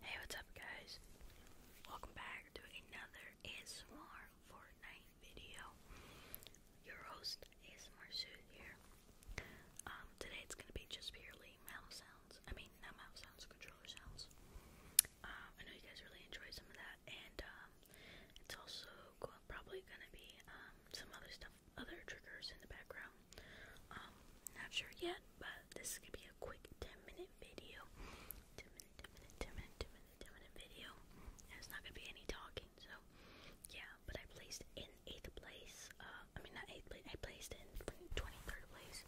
Hey, what's up, guys? Welcome back to another ASMR Fortnite video. Your host, ASMR Suit here. Um, today it's gonna be just purely mouse sounds. I mean, not mouse sounds, controller sounds. Um, I know you guys really enjoy some of that, and um, it's also probably gonna be some other stuff, other triggers in the background. Um, not sure yet, but this is gonna be a quick 10 minute video. 10 minute, 10 minute, 10 minute, 10 minute, 10 minute video. it's not gonna be any talking, so yeah. But I placed in 8th place, uh, I mean, not 8th place, I placed in 23rd place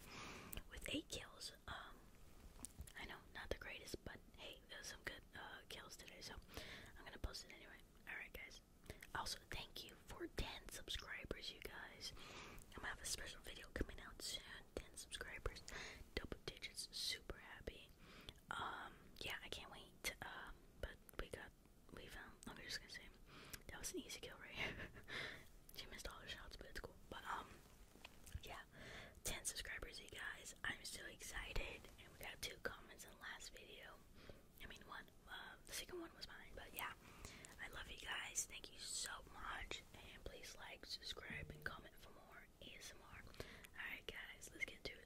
with 8 kills. Um, I know, not the greatest, but hey, there's some good uh, kills today, so I'm gonna post it anyway. Alright, guys. Also, thank you for 10 subscribers, you guys. I'm gonna have a special video coming out soon. 10 subscribers, double digits, super happy. Um, yeah, I can't wait. Um, but we got, we found, I'm just gonna say, that was an easy kill right she missed all her shots, but it's cool. But, um, yeah, 10 subscribers, you guys. I'm so excited. And we got two comments in the last video. I mean one. Um, the second one was mine, but yeah. I love you guys. Thank you so much. And please like, subscribe, and comment for more ASMR. Alright guys, let's get to it.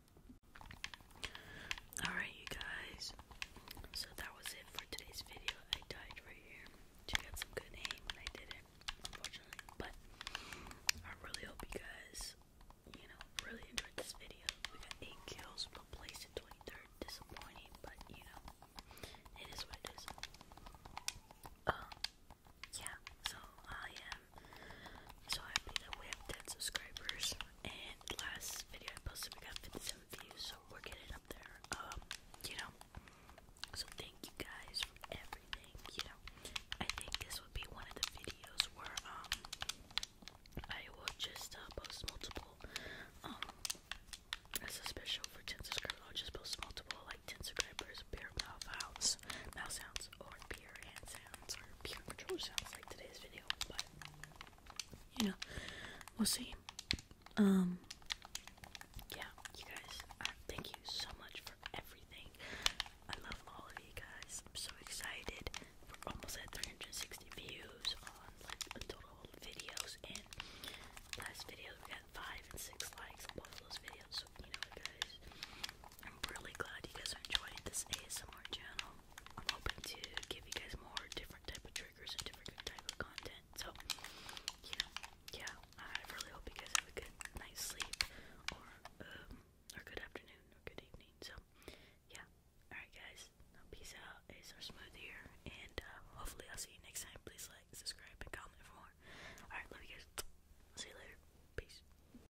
Alright, you guys. So that was it for today's video. I died right here. She got some good aim I did it, But I really hope you guys, you know, really enjoyed this video. We got 8 kills, but placed in 23rd. Disappointing, but you know, it is what it is. Um, yeah, so I am so happy that we have 10 subscribers and last video I posted we got 57 views, so we're getting up there. Um, you know. So thank you guys for everything, you know. I think this would be one of the videos where um I will just uh, post multiple um as a special for 10 subscribers, I'll just post multiple like 10 subscribers, pair mouth sounds, mouth sounds, or pure hand sounds or pure controller sounds like today's video, but you know, we'll see. Um, yeah, you guys, uh, thank you so much for everything. I love all of you guys. I'm so excited. We're almost at 360 views on like total videos, and last video we got five and six likes on both of those videos. So you know, guys, I'm really glad you guys are enjoying this ASMR channel. I'm hoping to give you guys more different type of triggers and different type of content. So, you know, yeah, I really hope you guys have a good night's sleep or um or good afternoon or good evening. So, yeah. Alright guys, now peace out. It's our smooth here and uh, hopefully I'll see you next time. Please like, subscribe, and comment for more. Alright, love you guys. I'll see you later. Peace.